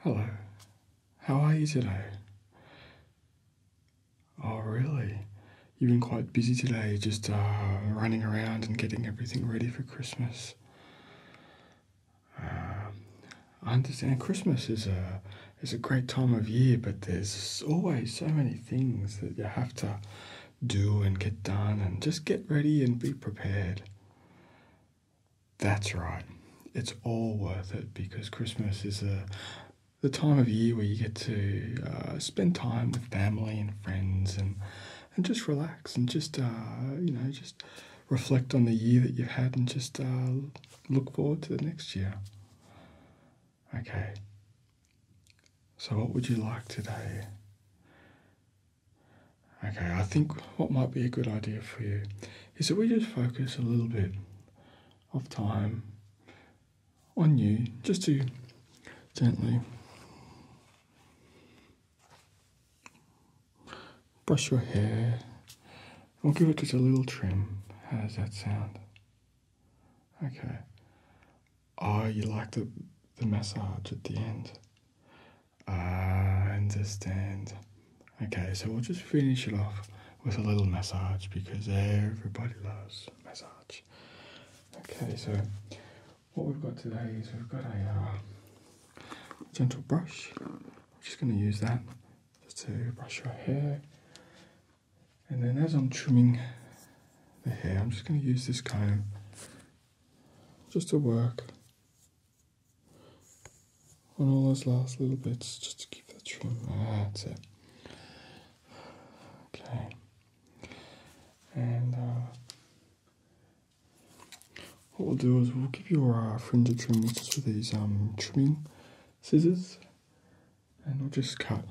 Hello, how are you today? Oh, really? You've been quite busy today, just uh, running around and getting everything ready for Christmas. Um, I understand Christmas is a is a great time of year, but there's always so many things that you have to do and get done, and just get ready and be prepared. That's right. It's all worth it because Christmas is a, the time of year where you get to uh, spend time with family and friends and, and just relax and just, uh, you know, just reflect on the year that you've had and just uh, look forward to the next year. Okay. So, what would you like today? Okay, I think what might be a good idea for you is that we just focus a little bit of time on you just to gently brush your hair. We'll give it just a little trim. How does that sound? Okay. Oh, you like the, the massage at the end. I understand. Okay, so we'll just finish it off with a little massage because everybody loves massage. Okay, so what we've got today is we've got a uh, gentle brush. I'm just going to use that just to brush your hair. And then as I'm trimming the hair, I'm just going to use this comb just to work on all those last little bits just to keep that trim. That's it. Okay. And uh, what we'll do is we'll give your uh, friend a trim just with these um, trimming scissors, and we'll just cut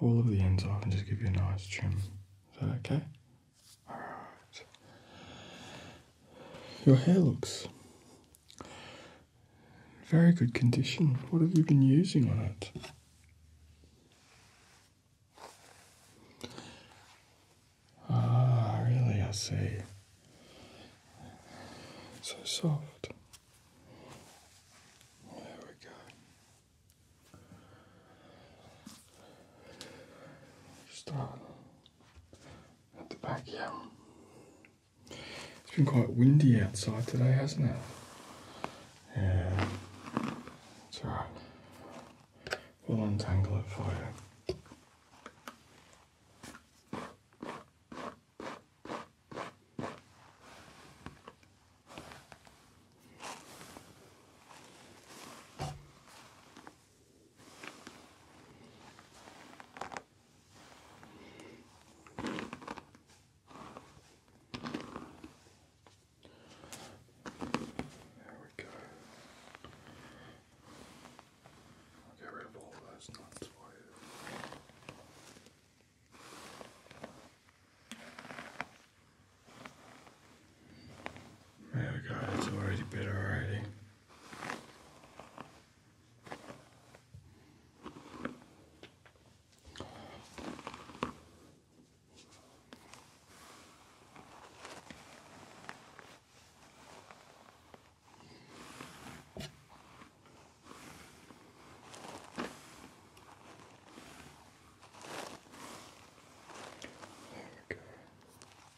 all of the ends off and just give you a nice trim. Is that okay? Alright. Your hair looks very good condition. What have you been using on it? Ah, really, I see. So soft. There we go. Start at the back, yeah. It's been quite windy outside today, hasn't it? Yeah. It's alright. We'll untangle it for you. There we go. get rid of all those nuts you. My God, it's already better already. There we go.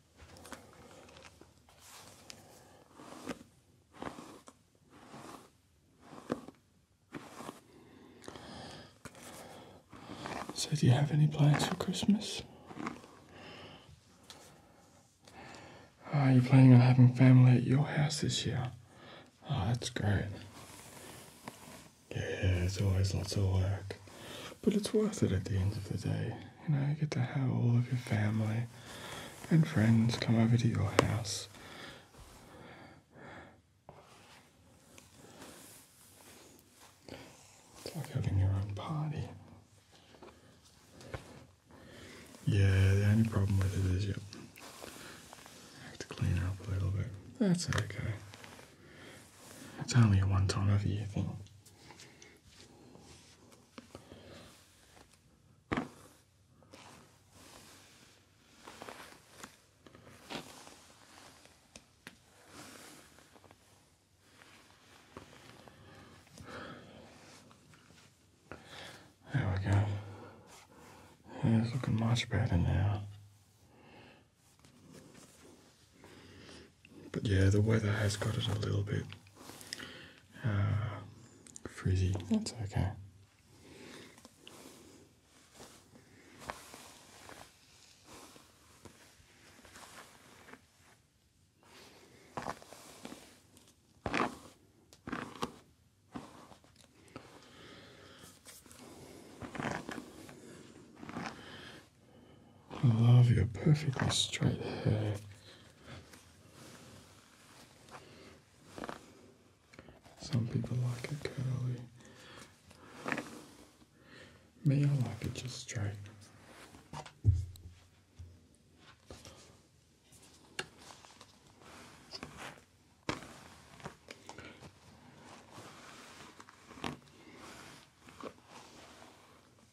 So, do you have any plans for Christmas? Are oh, you planning on having family at your house this year? Oh, that's great. Yeah, it's always lots of work, but it's worth it at the end of the day. You know, you get to have all of your family and friends come over to your house. It's like having your own party. Yeah, the only problem with it is you have to clean up a little bit. That's okay. It's only a one time a year thing. There we go. it's looking much better now. But yeah, the weather has got it a little bit uh, frizzy. That's okay. I love your perfectly straight hair. Some people like it curly. Me, I like it just straight.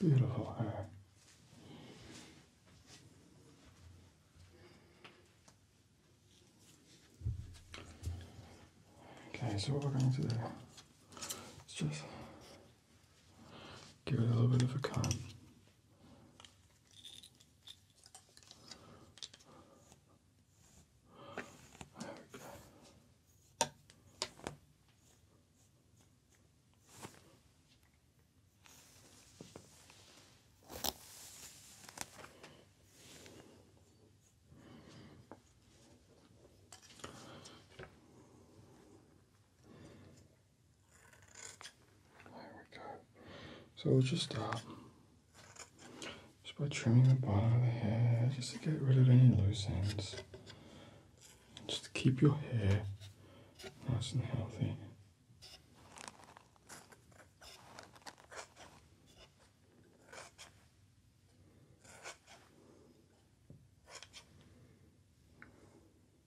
Beautiful hair. Okay, so what we're going to do is just Give it a little bit of a cut. There we go. So we'll just start just by trimming the bottom of the hair just to get rid of any loose ends. Just to keep your hair nice and healthy.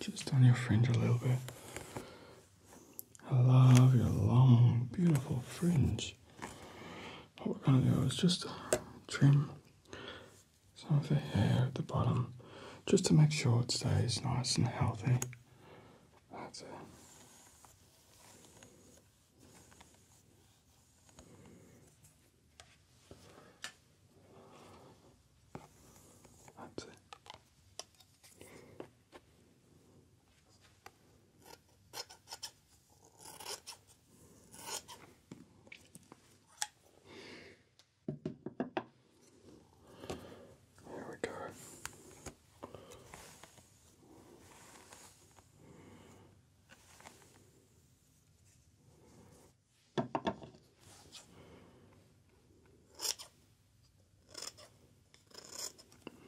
Just on your fringe a little bit. I love your long, beautiful fringe. What we're gonna do is just trim some of the hair at the bottom just to make sure it stays nice and healthy. That's it. That's it. Here we go.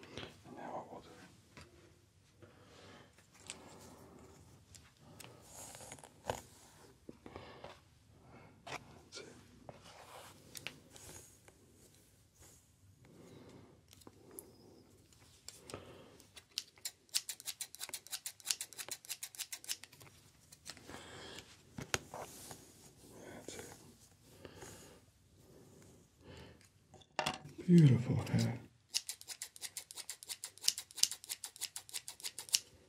And now what we'll do that's it. Beautiful hair.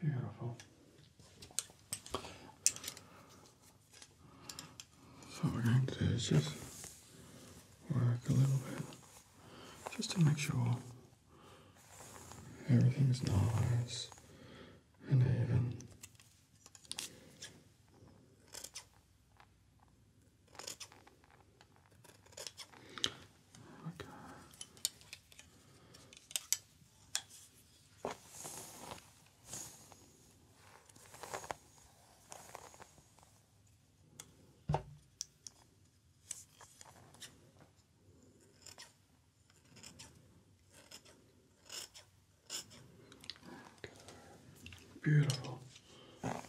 Beautiful. So we're going to do is just work a little bit just to make sure everything's nice in heaven. Okay. Beautiful. Perfect.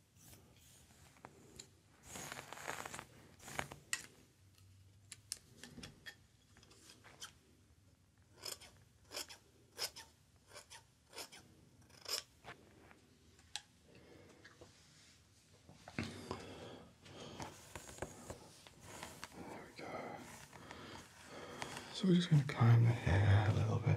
There we go. So we're just going to climb the hair a little bit.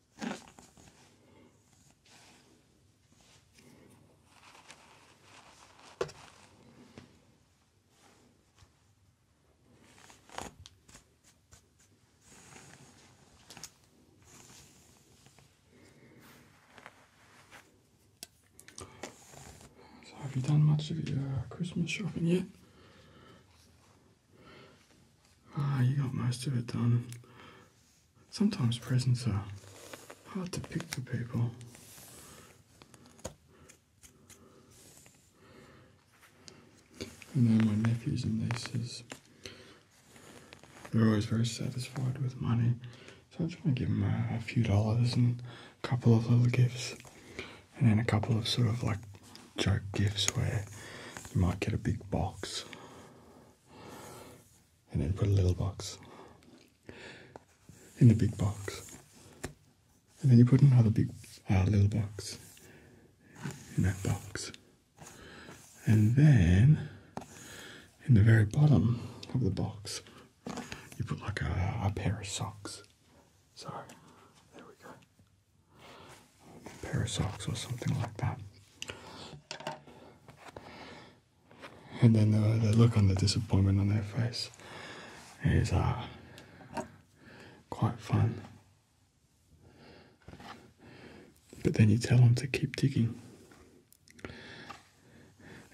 So have you done much of your uh, Christmas shopping yet? Ah, you got most of it done. Sometimes presents are hard to pick for people. And know my nephews and nieces, they're always very satisfied with money. So I am trying to give them a, a few dollars and a couple of little gifts. And then a couple of sort of like joke gifts where you might get a big box and then put a little box in the big box, and then you put another big uh, little box in that box, and then in the very bottom of the box you put like a, pair of socks. Sorry, there we go a pair of socks or something like that. And then uh, the, look on the disappointment on their face is uh, quite fun. But then you tell them to keep digging.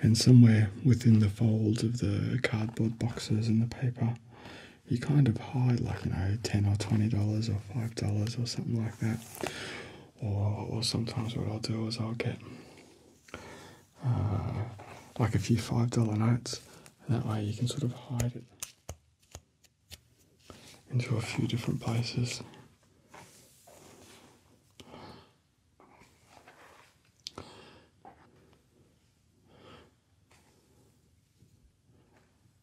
And somewhere within the folds of the cardboard boxes and the paper, you kind of hide like, you know, $10 or $20 or $5 or something like that. Or, sometimes what I'll do is I'll get uh, like a few five dollar notes, and that way you can sort of hide it into a few different places.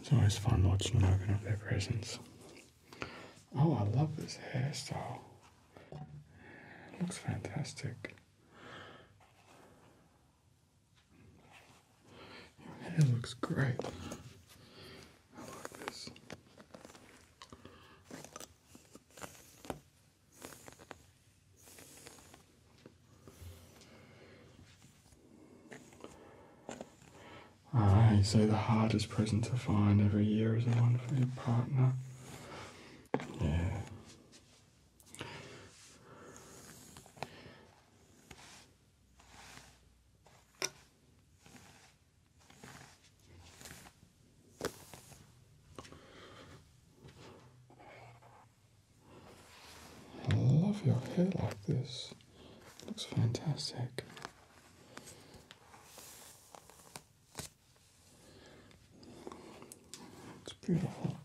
It's always fun watching them open up their presents. Oh, I love this hairstyle. looks fantastic. Your hair looks great. I like this. I say the hardest present to find every year is the one for your partner. Yeah. I love your hair like this. Looks fantastic. It's beautiful.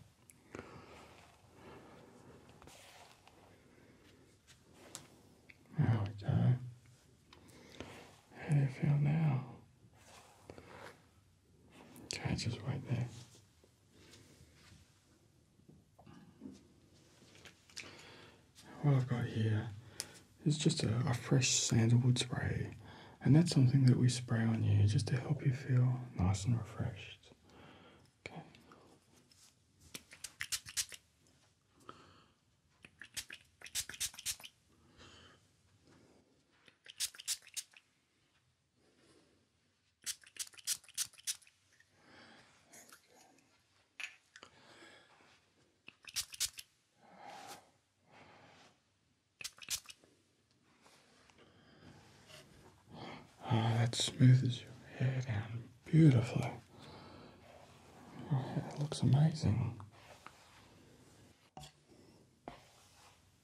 There we go. How do you feel now? Okay, just right there. What I've got here is just a, a fresh sandalwood spray, and that's something that we spray on you just to help you feel nice and refreshed. Okay. Oh, that's smooth as your hair down beautifully. Your oh, looks amazing.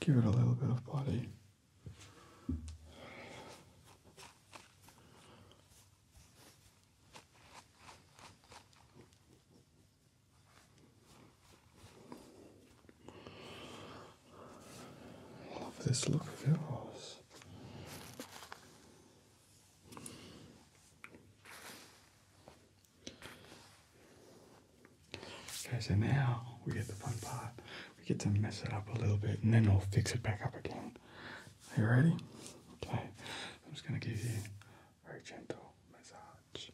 Give it a little bit of body. Love this look of yours. Okay, so now we get the fun part. We get to mess it up a little bit and then I'll fix it back up again. Are you ready? Okay, I'm just going to give you a very gentle massage.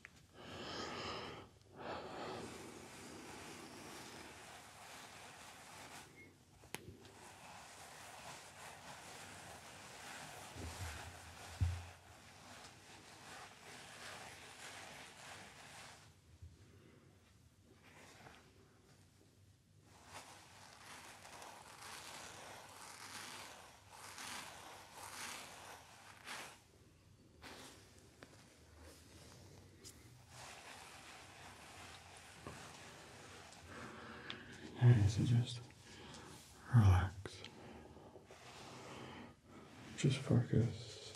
And it's just relax. Just focus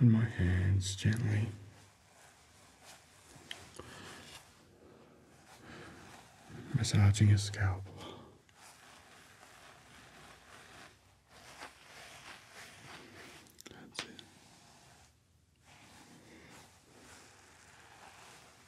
on my hands gently. Massaging his scalp. That's it.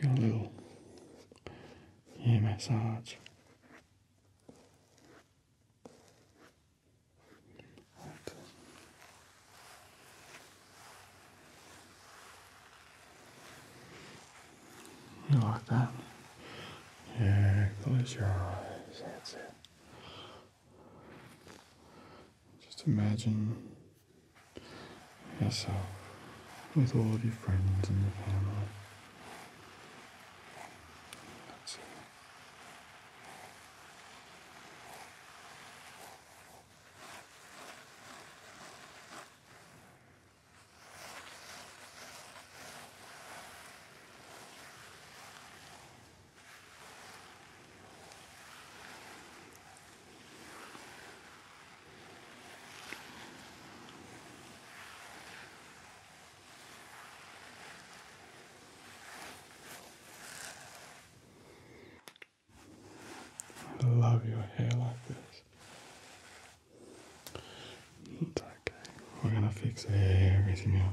Give a little ear massage. Right. You like that? Yeah, close your eyes, that's it. Just imagine yourself with all of your friends and your family. That's it. I love your hair like this. It's okay. We're gonna fix everything up.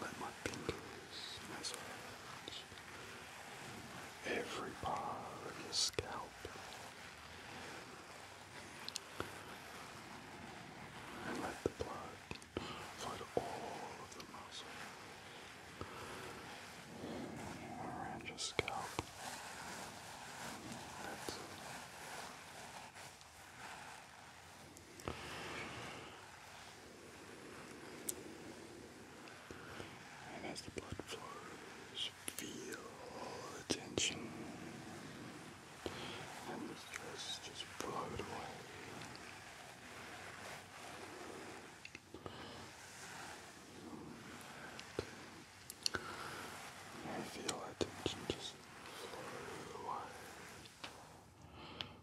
Let my fingers massage every part of your scalp. And let the blood flood all of the muscles around your scalp. And as the blood flows, feel all the tension and the stress just float away. I feel that just flow away.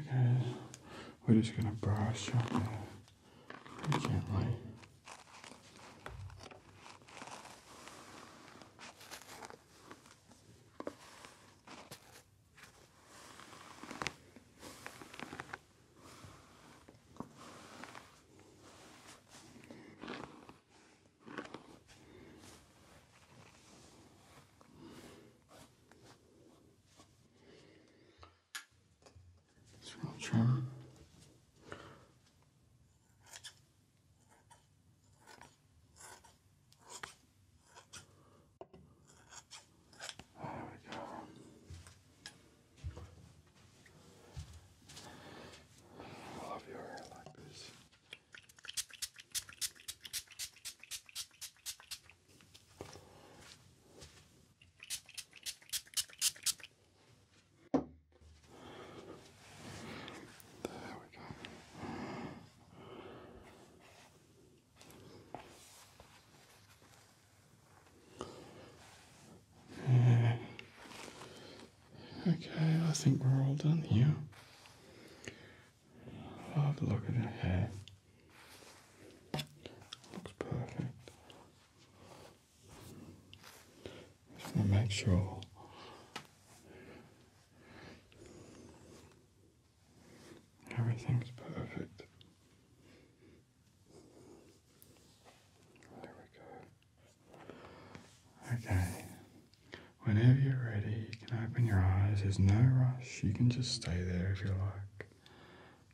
Okay, we're just going to brush up gently trim. There we go. I love your hair like this. There we go. Uh, okay, I think we're all done here. I'll have a look at her hair. Looks perfect. Just want to make sure Everything's perfect. There we go. Okay. Whenever you're ready, you can open your eyes. There's no rush. You can just stay there if you like.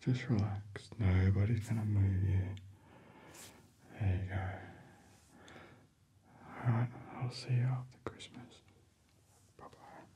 Just relax. Nobody's going to move you. There you go. Alright, I'll see you after Christmas. Bye bye.